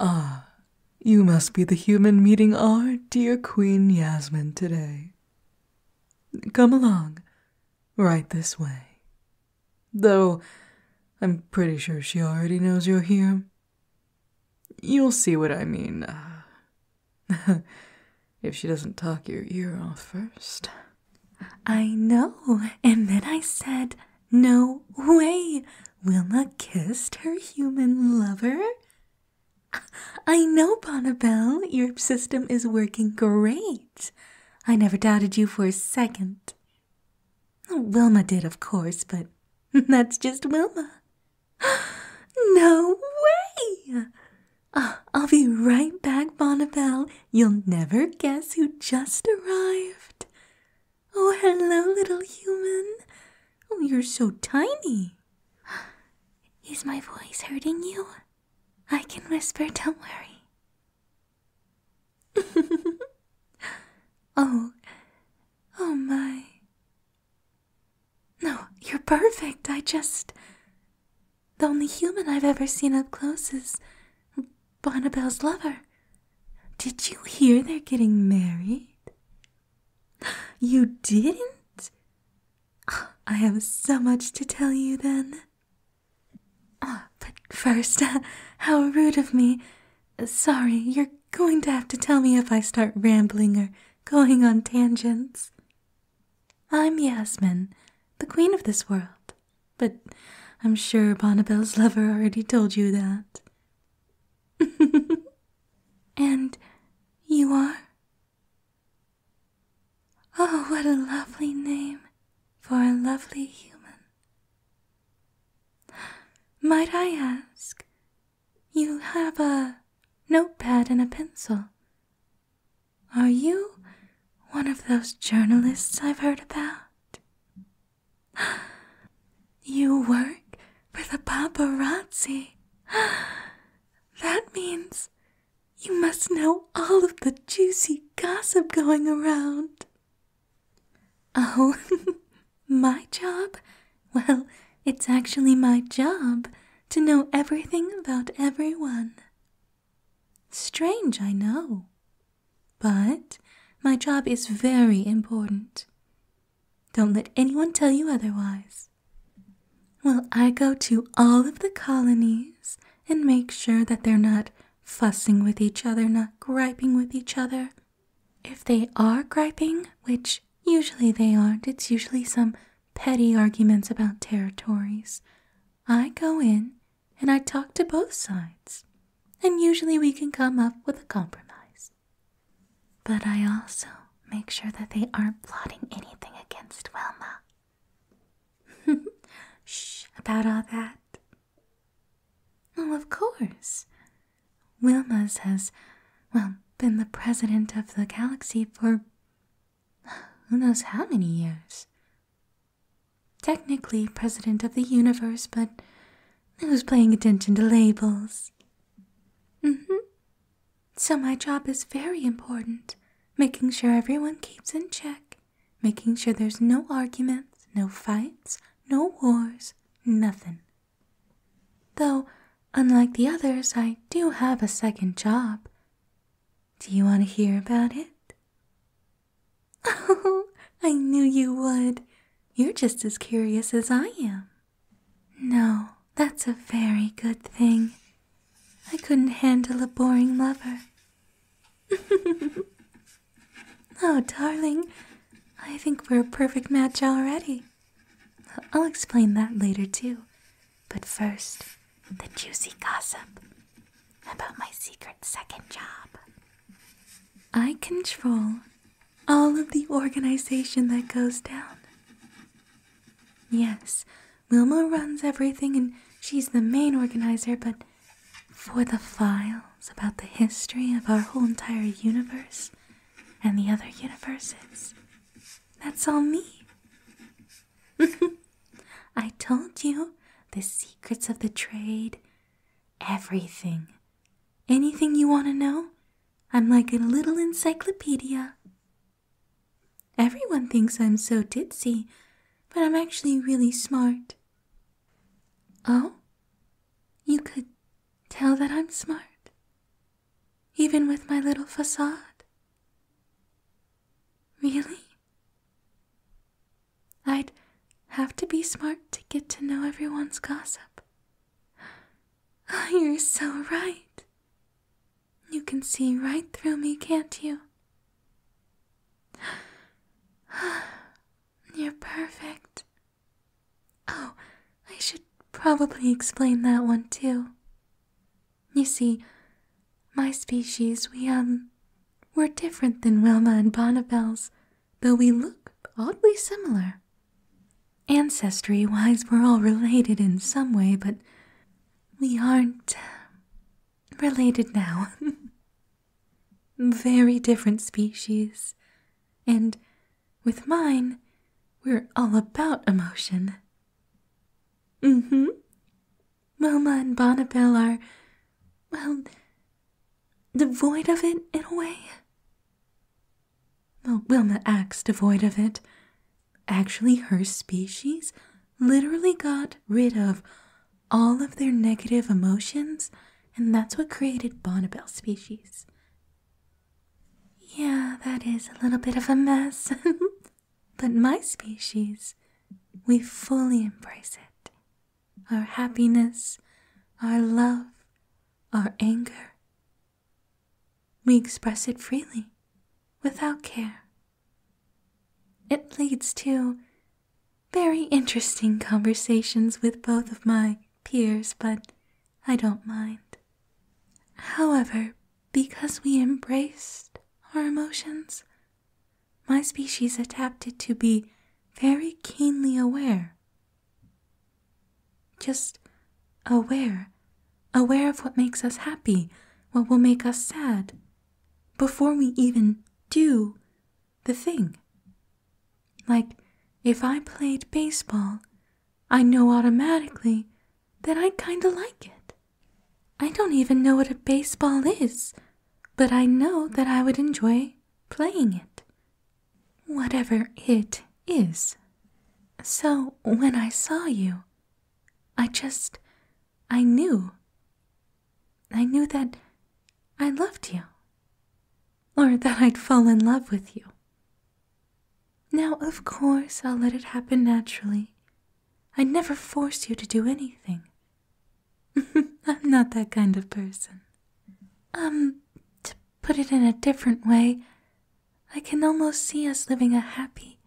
Ah, you must be the human meeting our dear Queen Yasmin today. Come along, right this way. Though I'm pretty sure she already knows you're here. You'll see what I mean. Ah. if she doesn't talk your ear off first. I know, and then I said, no way! Wilma kissed her human lover? I know, Bonnabelle, your system is working great. I never doubted you for a second. Wilma did, of course, but that's just Wilma. No way! Uh, I'll be right back, Bonnabelle. You'll never guess who just arrived. Oh, hello, little human. Oh, you're so tiny. Is my voice hurting you? I can whisper, don't worry. oh, oh my. No, you're perfect. I just. The only human I've ever seen up close is Bonnabelle's lover. Did you hear they're getting married? You didn't? I have so much to tell you then. but first, uh, how rude of me. Sorry, you're going to have to tell me if I start rambling or going on tangents. I'm Yasmin, the queen of this world but I'm sure Bonnabelle's lover already told you that. and you are? Oh, what a lovely name for a lovely human. Might I ask, you have a notepad and a pencil. Are you one of those journalists I've heard about? You work for the paparazzi. That means you must know all of the juicy gossip going around. Oh, my job? Well, it's actually my job to know everything about everyone. Strange, I know, but my job is very important. Don't let anyone tell you otherwise. Well, I go to all of the colonies and make sure that they're not fussing with each other, not griping with each other. If they are griping, which usually they aren't, it's usually some petty arguments about territories, I go in and I talk to both sides, and usually we can come up with a compromise. But I also make sure that they aren't plotting anything against Wilma. Shh, about all that. of course. Wilma's has, well, been the president of the galaxy for who knows how many years. Technically president of the universe, but who's paying attention to labels? Mm hmm. So, my job is very important making sure everyone keeps in check, making sure there's no arguments, no fights, no wars, nothing. Though, unlike the others, I do have a second job. Do you want to hear about it? Oh, I knew you would. You're just as curious as I am. No, that's a very good thing. I couldn't handle a boring lover. oh, darling, I think we're a perfect match already. I'll explain that later, too, but first, the juicy gossip about my secret second job. I control all of the organization that goes down. Yes, Wilma runs everything and she's the main organizer, but for the files about the history of our whole entire universe and the other universes, that's all me. I told you the secrets of the trade, everything. Anything you want to know? I'm like a little encyclopedia. Everyone thinks I'm so ditzy, but I'm actually really smart. Oh? You could tell that I'm smart, even with my little facade. Really? I'd have to be smart to get to know everyone's gossip. Oh, you're so right. You can see right through me, can't you? You're perfect. Oh, I should probably explain that one too. You see, my species, we, um, we're different than Wilma and Bonnabelle's, though we look oddly similar. Ancestry wise, we're all related in some way, but we aren't um, related now. Very different species. And with mine, we're all about emotion. Mm hmm. Wilma and Bonneville are, well, devoid of it in a way. Well, Wilma acts devoid of it. Actually, her species literally got rid of all of their negative emotions, and that's what created Bonneville's species. Yeah, that is a little bit of a mess. But my species, we fully embrace it. Our happiness, our love, our anger. We express it freely, without care. It leads to very interesting conversations with both of my peers, but I don't mind. However, because we embraced our emotions, my species adapted to be very keenly aware. Just aware, aware of what makes us happy, what will make us sad, before we even do the thing. Like, if I played baseball, I know automatically then I kinda like it. I don't even know what a baseball is, but I know that I would enjoy playing it. Whatever it is. So when I saw you, I just. I knew. I knew that I loved you. Or that I'd fall in love with you. Now, of course, I'll let it happen naturally. I never forced you to do anything. I'm not that kind of person. Um, to put it in a different way, I can almost see us living a happy,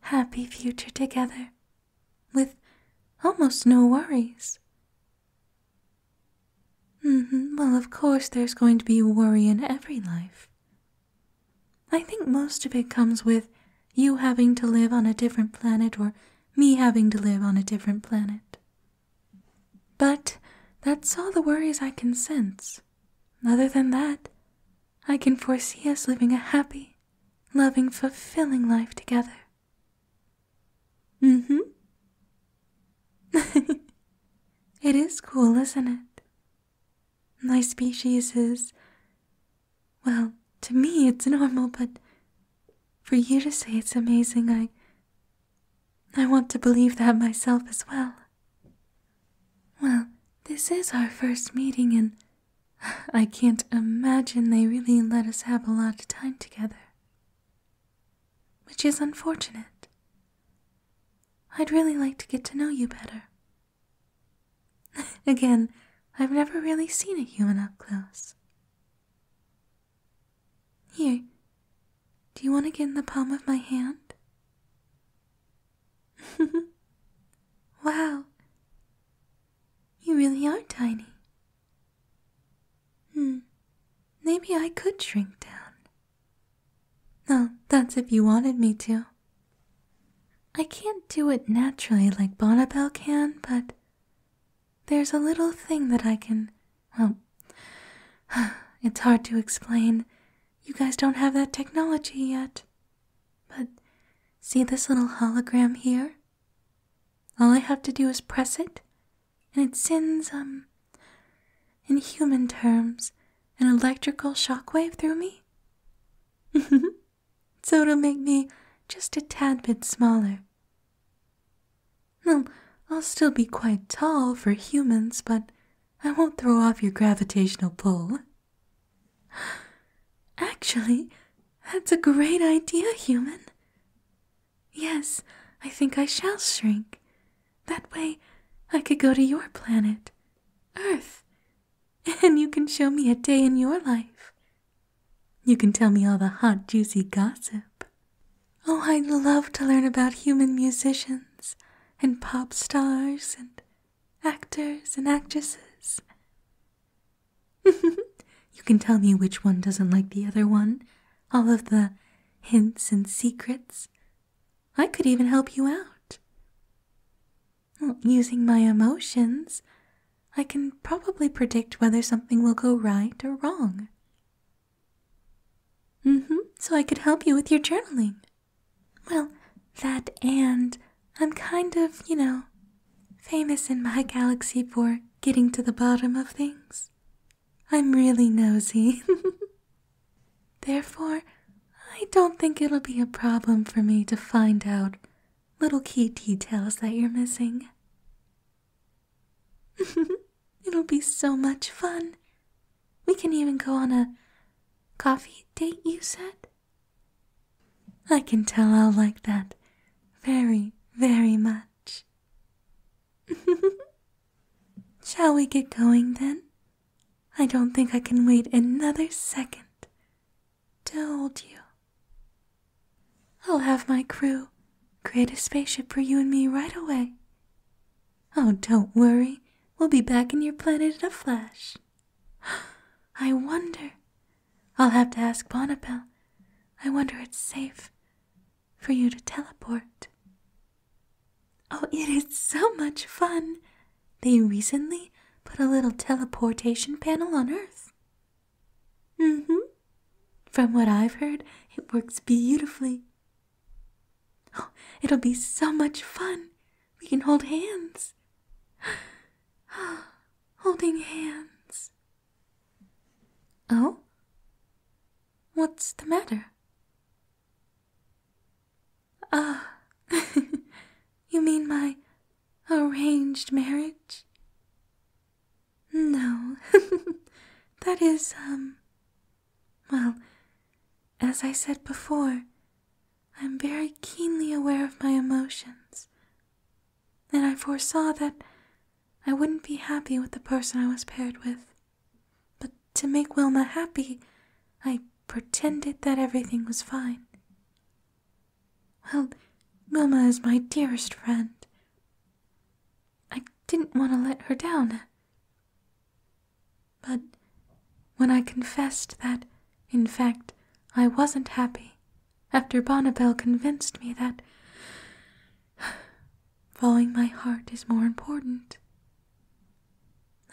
happy future together, with almost no worries. Mm-hmm, well, of course, there's going to be worry in every life. I think most of it comes with you having to live on a different planet or me having to live on a different planet. But that's all the worries I can sense. Other than that, I can foresee us living a happy, loving, fulfilling life together. Mm hmm. it is cool, isn't it? My species is. Well, to me it's normal, but for you to say it's amazing, I. I want to believe that myself as well. Well, this is our first meeting, and I can't imagine they really let us have a lot of time together. Which is unfortunate, I'd really like to get to know you better. Again, I've never really seen a human up close. Here, do you want to get in the palm of my hand? wow, you really are tiny. Hmm, maybe I could shrink down. No, that's if you wanted me to. I can't do it naturally like Bonnabelle can, but there's a little thing that I can. Well, it's hard to explain. You guys don't have that technology yet. But see this little hologram here? All I have to do is press it, and it sends, um, in human terms, an electrical shockwave through me. so it'll make me just a tad bit smaller. Well, I'll still be quite tall for humans, but I won't throw off your gravitational pull. Actually, that's a great idea, human. Yes, I think I shall shrink. That way I could go to your planet, Earth, and you can show me a day in your life. You can tell me all the hot, juicy gossip. Oh, I'd love to learn about human musicians and pop stars and actors and actresses. you can tell me which one doesn't like the other one, all of the hints and secrets. I could even help you out. using my emotions, I can probably predict whether something will go right or wrong. Mm hmm, so I could help you with your journaling. Well, that and I'm kind of, you know, famous in my galaxy for getting to the bottom of things. I'm really nosy. Therefore, I don't think it'll be a problem for me to find out little key details that you're missing. it'll be so much fun. We can even go on a coffee date, you said? I can tell I'll like that very, very much. Shall we get going then? I don't think I can wait another second to hold you. I'll have my crew create a spaceship for you and me right away. Oh, don't worry, we'll be back in your planet in a flash. I wonder. I'll have to ask Bonapel. I wonder it's safe for you to teleport. Oh, it is so much fun! They recently put a little teleportation panel on Earth. Mm hmm. From what I've heard, it works beautifully. Oh, it'll be so much fun! We can hold hands. Holding hands. Oh? What's the matter? Ah, you mean my arranged marriage? No, that is, um, well, as I said before, I'm very keenly aware of my emotions, and I foresaw that I wouldn't be happy with the person I was paired with. But to make Wilma happy, I pretended that everything was fine. Well, Wilma is my dearest friend. I didn't want to let her down. But when I confessed that, in fact, I wasn't happy, after Bonnabelle convinced me that following my heart is more important.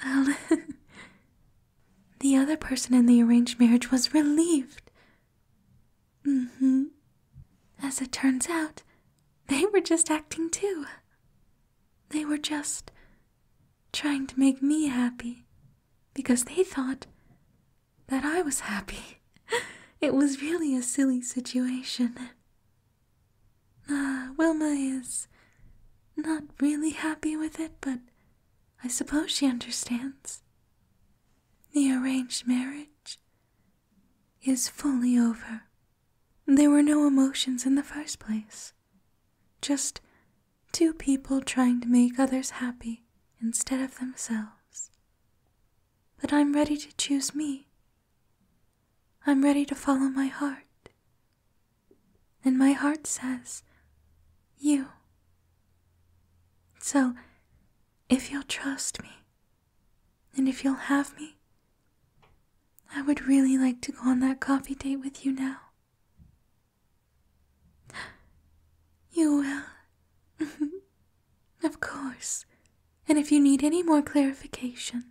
Well, the other person in the arranged marriage was relieved. Mm-hmm. As it turns out, they were just acting too. They were just trying to make me happy because they thought that I was happy. It was really a silly situation. Ah, Wilma is not really happy with it, but I suppose she understands. The arranged marriage is fully over. There were no emotions in the first place, just two people trying to make others happy instead of themselves. But I'm ready to choose me. I'm ready to follow my heart. And my heart says, You. So, if you'll trust me, and if you'll have me, I would really like to go on that coffee date with you now. You will. of course. And if you need any more clarification,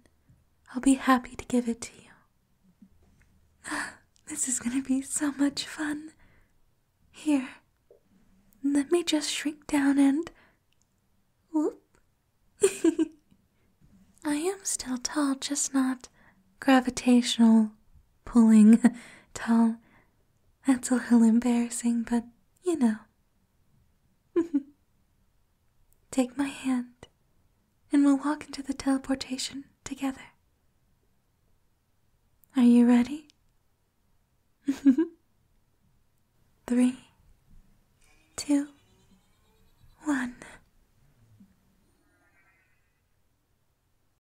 I'll be happy to give it to you. This is going to be so much fun. Here, let me just shrink down and. Whoop. I am still tall, just not gravitational pulling tall. That's a little embarrassing, but you know. Take my hand, and we'll walk into the teleportation together. Are you ready? Three, two, one.